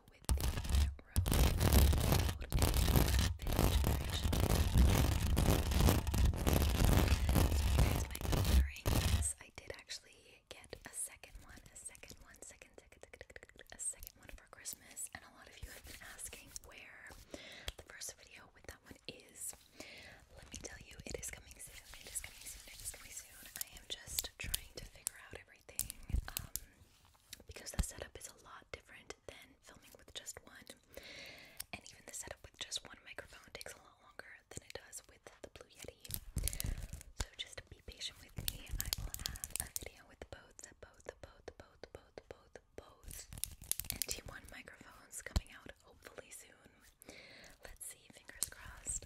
with the rose gold and So here's my gold ring. Yes, I did actually get a second one, a second one, second, second, second, a second one for Christmas. And a lot of you have been asking where the first video with that one is. Let me tell you, it is coming soon. It is coming soon. It is coming soon. I am just trying to figure out everything. Um, because the setup is a lot different than filming with just one. And even the setup with just one microphone takes a lot longer than it does with the Blue Yeti. So just be patient with me. I will have a video with both, both, both, both, both, both, both NT1 microphones coming out hopefully soon. Let's see, fingers crossed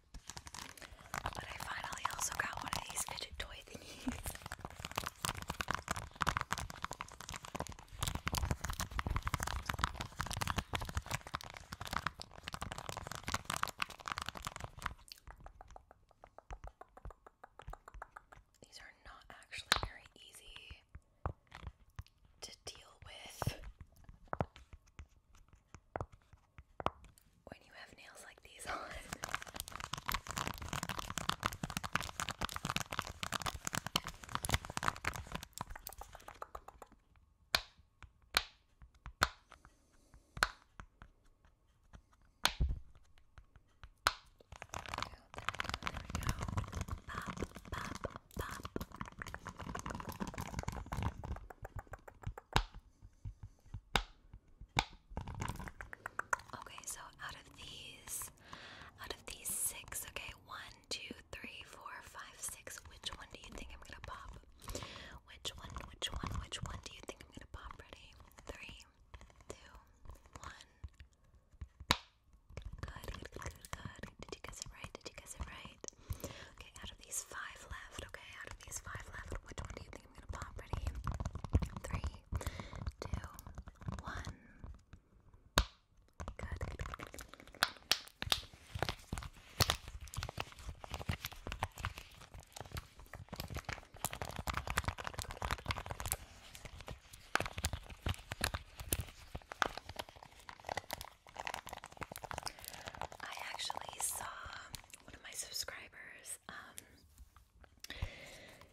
But I finally also got one of these fidget toy thingies. These are not actually very easy to deal with when you have nails like these on. There we go. Pop, pop, pop. There Okay, so out of these, out of these six, okay, one, two, three, four, five, six. Which one do you think I'm gonna pop? Which one? Which one? Which one do you think I'm gonna pop? Ready? Three, two, one. Good, good, good, good, good. Did you guess it right? Did you guess it right? Okay, out of these five left. Okay, out of these five left. Which one do you I'm gonna pop. Ready? Three, two, one. Good. I actually saw one of my subscribers um,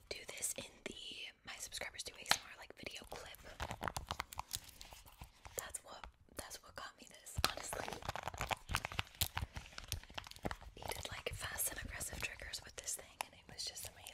do this in the my subscribers do a smart like video clip. That's what that's what got me this, honestly. He like fast and aggressive triggers with this thing and it was just amazing.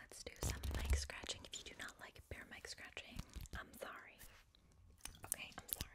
let's do some mic scratching. If you do not like bear mic scratching, I'm sorry. Okay, I'm sorry.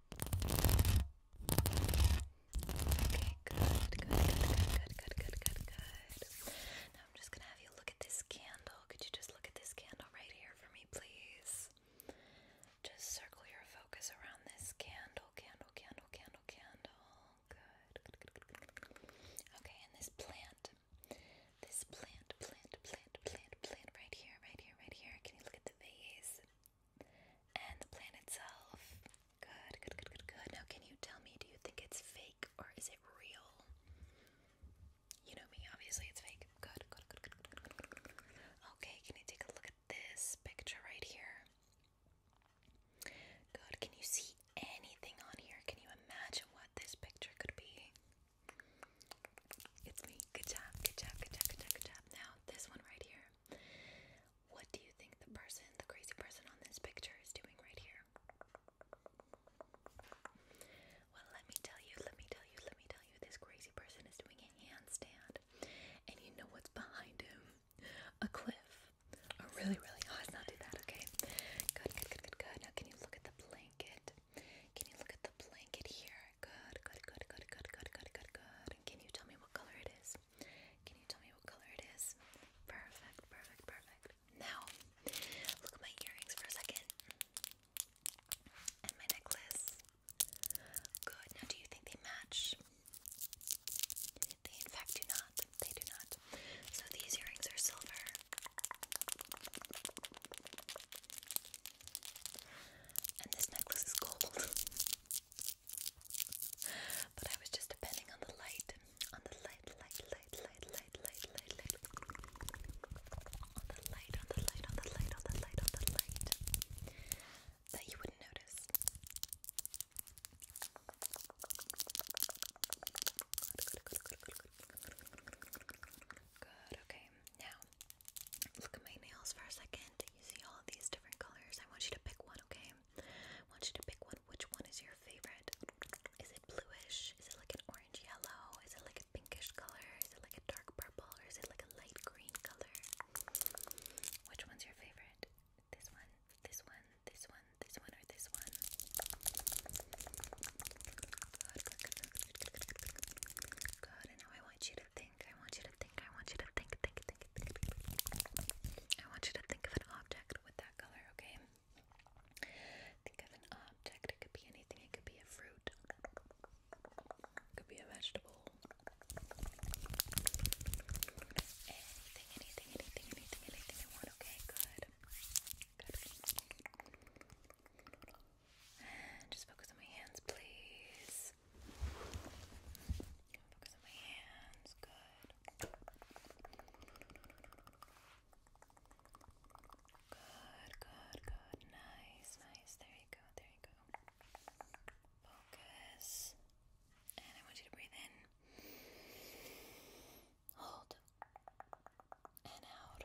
Okay, good, good, good, good, good, good, good, good. Now I'm just gonna have you look at this candle. Could you just look at this candle right here for me, please? Just circle your focus around this candle, candle, candle, candle, candle. Good. Okay, and this plant. This plant, plant, plant plant, plant, right here, right here, right here. Can you look at the vase? And the plant itself. Good, good, good, good, good. Now, can you tell me, do you think it's fake or is it real? You know me, obviously it's fake. Good, good, good, good, good, good, good, good. Okay, can you take a look at this picture right here? Good, can you see anything on here? Can you imagine what this picture could be? It's me. Good job. Good job. Good job. Good job. Good job. Now this one right here. What do you think the person, the crazy person on this picture, is doing right here? Well, let me tell you. Let me tell you. Let me tell you. This crazy person is doing a handstand, and you know what's behind him? A cliff. A really, really. Oh, let's not do that. Okay. Good. Good. Good. Good. Good. Now, can you look at the blanket? Can you look at the blanket here? Good, good, good, good, good, good, good, good, good. can you tell me what color it is? Can you tell me what color it is? Perfect, perfect, perfect. Now, look at my earrings for a second. And my necklace. Good. Now, do you think they match? They, in fact, do not. They do not. So, these earrings are silver. And this necklace is gold. but I was just depending on the light. On the light, light, light, light, light, light, light, On the light, on the light, on the light, on the light, on the light. That you wouldn't notice. Good, okay. Now, Look at my nails for a second. You see all of these different colors. I want you to pick one, okay? I want you to pick one. Which one is your favorite? Is it bluish? Is it like an orange yellow? Is it like a pinkish color? Is it like a dark purple? Or is it like a light green color? Which one's your favorite? This one, this one, this one, this one, or this one? Good, good, good, good, good, good, good. Good, and now I want you to think. I want you to think. I want you to think. Think. Think. think. I want you to think of an object with that color. Okay. Think of an object. It could be anything. It could be a fruit. It could be a vegetable. Anything. Anything. Anything. Anything. Anything you want. Okay. Good. Good. Just focus on my hands, please. Focus on my hands. Good. Good, good, good. Nice, nice. There you go, there you go. Focus. And I want you to breathe in. Hold. And out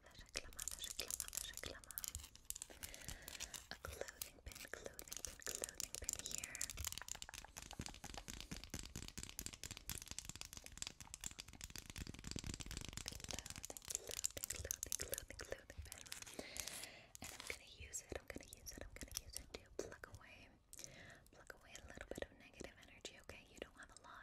A clothing pin, clothing pin, clothing pin here. Clothing, clothing, clothing, clothing, clothing pin. And I'm gonna use it, I'm gonna use it, I'm gonna use it to pluck away, pluck away a little bit of negative energy, okay? You don't have a lot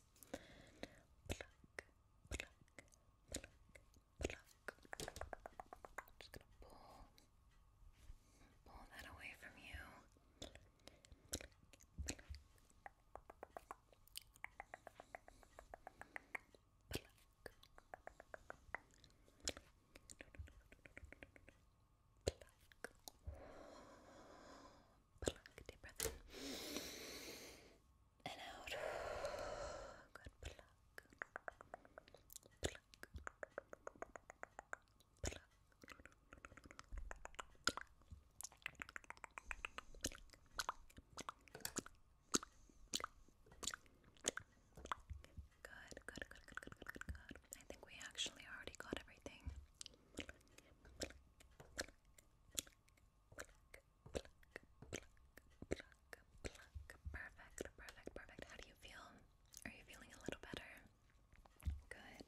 pluck, pluck, pluck, pluck. I'm just gonna pull, pull that away from you. Pluck, pluck, pluck. Pluck. Pluck pluck, deep in and out. Good Good, good, good, good, good, good, I think we actually already got everything pluck, Perfect, perfect, perfect. How do you feel? Are you feeling a little better? good.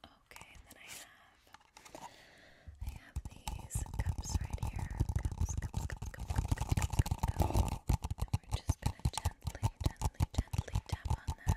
Okay, and then I have I have these cups right here. we're just gonna gently, gently, gently tap on them.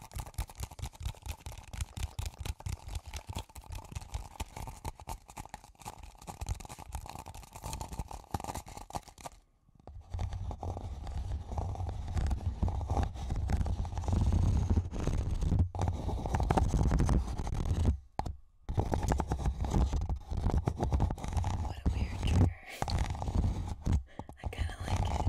What a weird trigger. I kind of like it.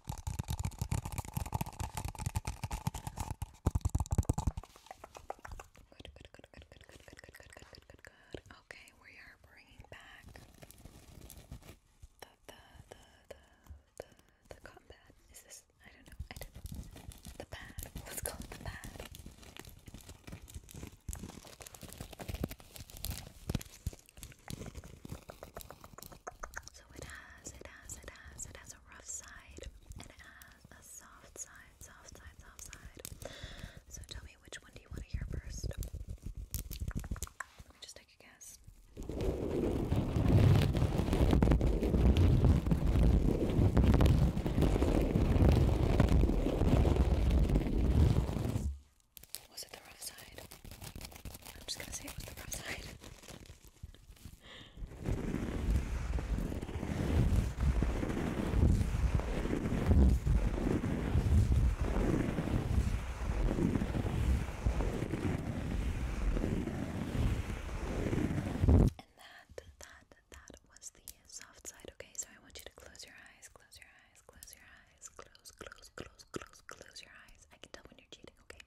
Good, good, good, good, good, good, good, good, good, good, good, good, good. Okay, we are bringing back the, the, the, the, the, the cotton pad. Is this, I don't know, I don't know. The pad. Let's call it the pad. So it has, it has, it has, it has a rough side and it has a soft side, soft side, soft side. So tell me which one do you want to hear first? Let me just take a guess. Was it the rough side? I'm just gonna say it was the rough side. and that, that, that was the soft side. Okay, so I want you to close your eyes, close your eyes, close your eyes, close, close, close, close, close your eyes. I can tell when you're cheating, okay?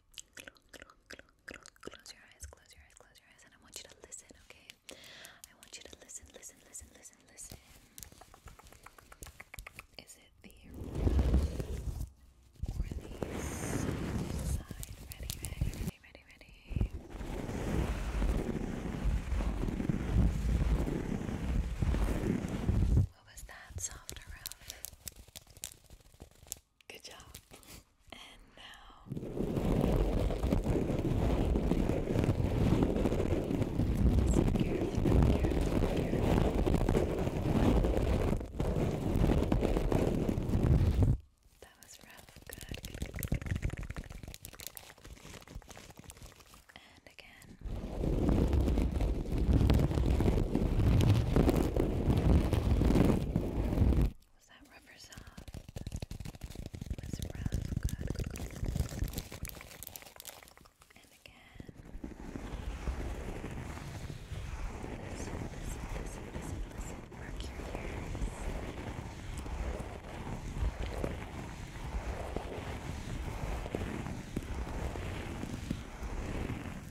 Close your eyes, close your eyes, close your eyes, and I want you to listen, okay? I want you to listen, listen, listen, listen, listen. Is it the right or the side? Ready, ready, ready, ready, What was that? Soft or Good job. And now That was rough. good. And again. Was that rubber soft? Was rough? Good. And again. Listen, listen, listen, listen, listen. Mark your ears. Was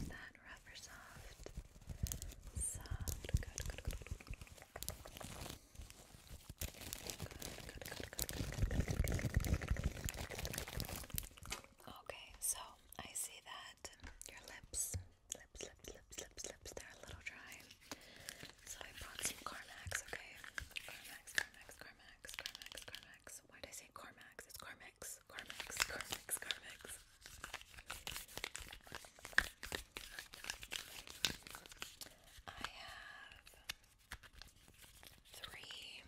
that Okay, so I see that your lips, lips, lips, lips, lips, lips, they're a little dry. So I brought some Carmax, okay? Carmax, Carmax, Carmax, Carmax, why did I say Carmax? It's Carmex. Carmex. Carmex. Carmex. I have three,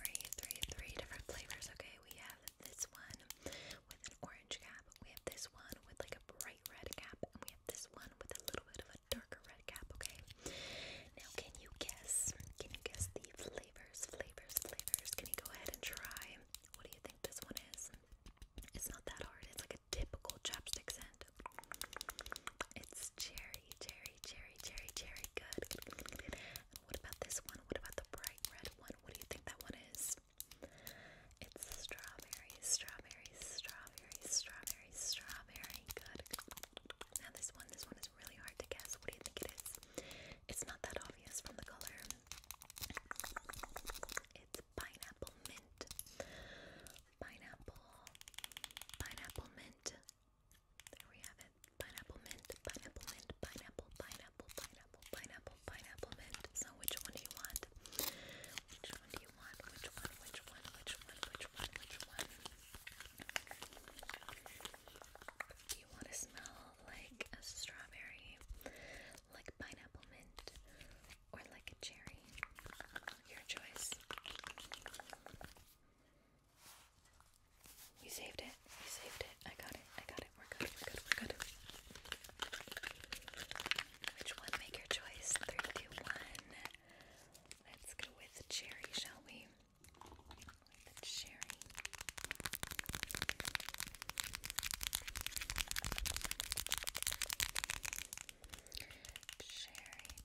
three, three, three different flavors. Okay, we have this one with an orange cap. We have this one with like a bright red cap, and we have this one with a little bit of a darker red cap. Okay. Now, can you guess? Can you guess the flavors, flavors, flavors. Can you go ahead and try? What do you think this one is? It's not that hard. It's like a typical chapstick scent. It's cherry, cherry, cherry, cherry, cherry. Good. what about this one? What about the bright red one? What do you think that one is? It's strawberry, strawberry, strawberry, strawberry, strawberry. Good. Now this one, this one is really hard to guess. What do you think it is? It's not that obvious from the color. It's pineapple mint. Pineapple. Pineapple mint. There we have it. Pineapple mint. Pineapple mint. Pineapple. Pineapple. Pineapple. Pineapple. Pineapple mint. So which one do you want? Which one do you want? Which one? Which one? Which one? Which one? Which one? Do you want to smell like a strawberry, like pineapple mint, or like a cherry. Your choice. We saved it. We saved it. I got it. I got it. We're good. We're good. We're good. Which one? Make your choice. Three, two, one. Let's go with cherry, shall we? cherry.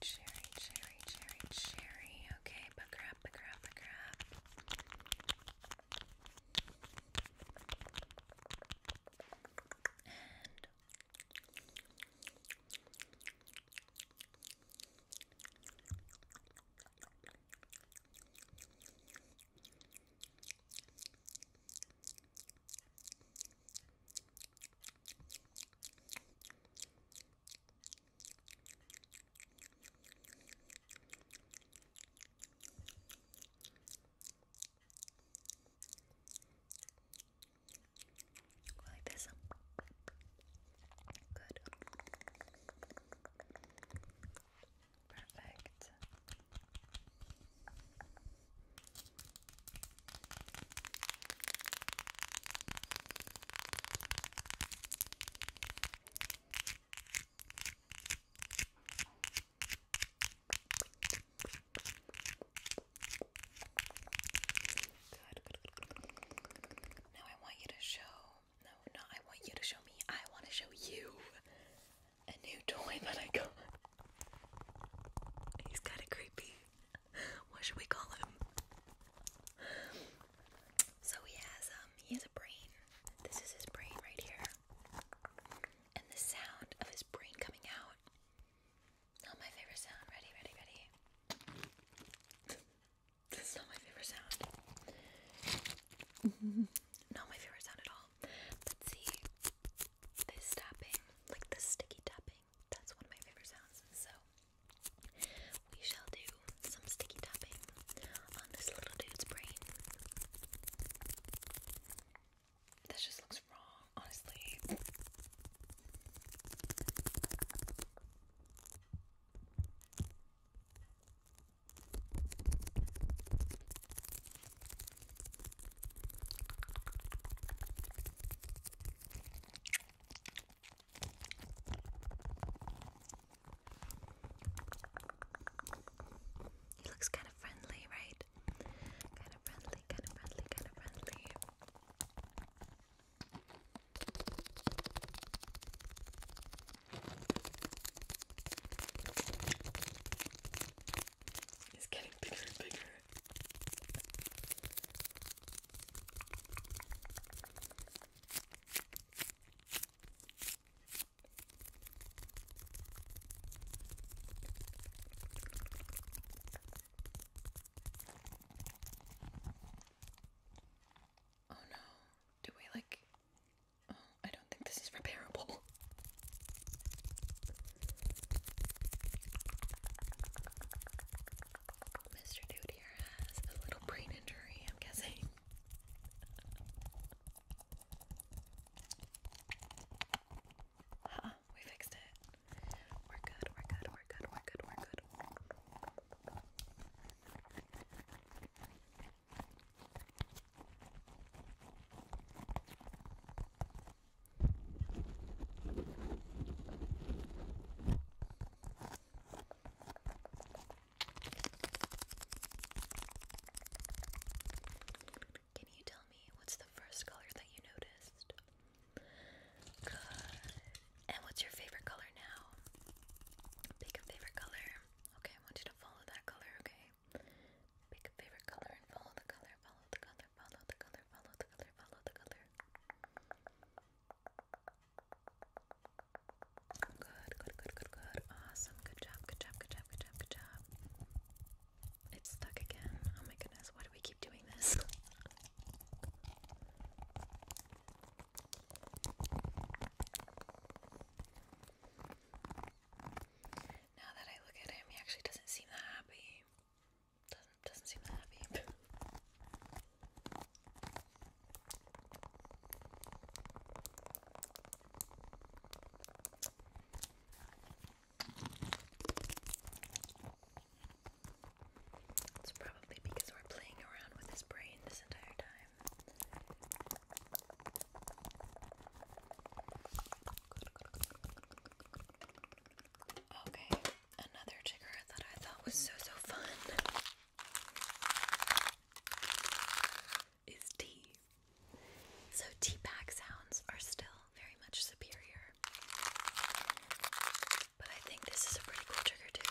Cherry, cherry, cherry, cherry, Okay, pick her up, pick her up, And Go like this. Good. Perfect. Good, good, good, good. Now I want you to show no, no, I want you to show me. I want to show you a new toy that I got. He's kind of creepy. What should we call him? So he has um he has a brain. This is his brain right here. And the sound of his brain coming out. Oh my favorite sound. Ready, ready, ready. That's not my favorite sound. not my favorite sound at all. But see, this tapping, like the sticky tapping, that's one of my favorite sounds. So we shall do some sticky tapping on this little dude's brain. This just looks wrong, honestly. He looks kind of friendly, right? Kind of friendly, kind of friendly, kind of friendly. It's getting bigger and bigger. Oh no, do we like Oh, I don't think this is repairable. Mr. Dude here has a little brain injury, I'm guessing. Huh, we fixed it. We're good, we're good, we're good, we're good, we're good. Can you tell me what's the first color that you noticed? And what's your favorite color now? Pick a favorite color. Okay, I want you to follow that color, okay? Pick a favorite color and follow the color, follow the color, follow the color, follow the color, follow the color. Good, good, good, good, good. Awesome. Good job, good job, good job, good job, good job. It's stuck again. Oh my goodness, why do we keep doing this? Now that I look at him, he actually doesn't seem that happy. Doesn't seem that happy. It's probably because we're playing around with his brain this entire time. Okay, another trigger that I thought was so so fun is tea. So tea bag sounds are still very much superior. But I think this is a pretty cool trigger too.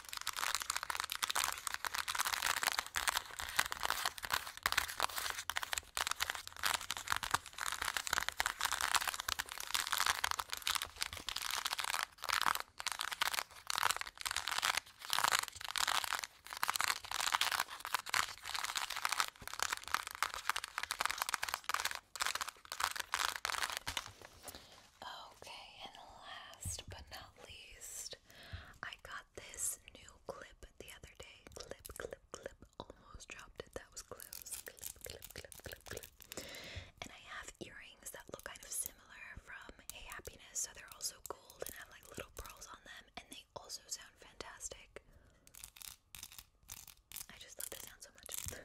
Okay, and last but not least, finished. I got this new clip the other day. Clip, clip, clip. Almost dropped it. That was close. Clip, clip, clip, clip, clip. And I have earrings that look kind of similar from Hey Happiness. So they're also gold and have like little pearls on them. And they also sound fantastic. I just love the sound so much.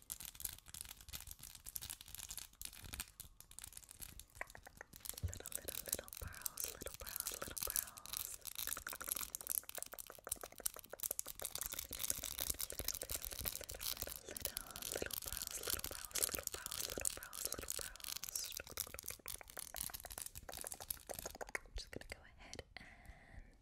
Little, little, little pearls, little pearls, little pearls. Little, little, little, little, little pearls, little pearls, little pearls, little pearls, little pearls. Just gonna go ahead and clip,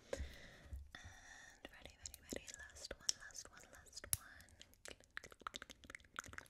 And ready, ready, ready. Last one, last one, last one. Good, good, good, good, good, good, good, good, good.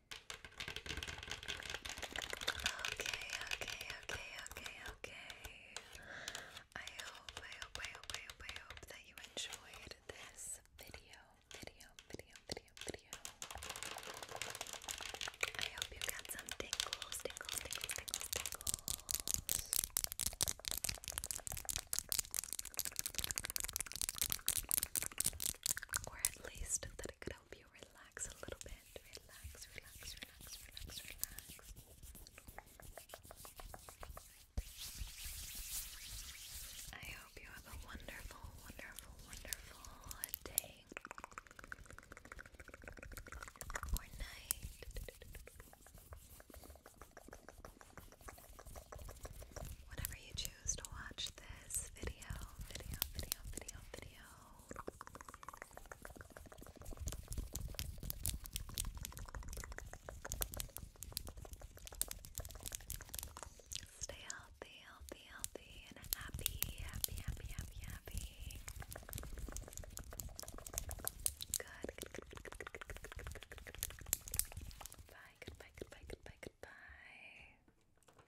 Okay, okay, okay, okay, okay. I hope, I hope, I hope, I hope, I hope that you enjoyed this video, video, video, video, video. I hope you got some tingles, tingles, tingles, tingles, tingles. Or at least that it could help relax a little bit. Relax, relax, relax, relax, relax. I hope you have a wonderful, wonderful, wonderful day or night. Whenever you choose to watch this video, video, video, video, video, Stay healthy, healthy, healthy, and happy, happy, happy, happy, happy. Good. Bye, goodbye, goodbye, goodbye, goodbye.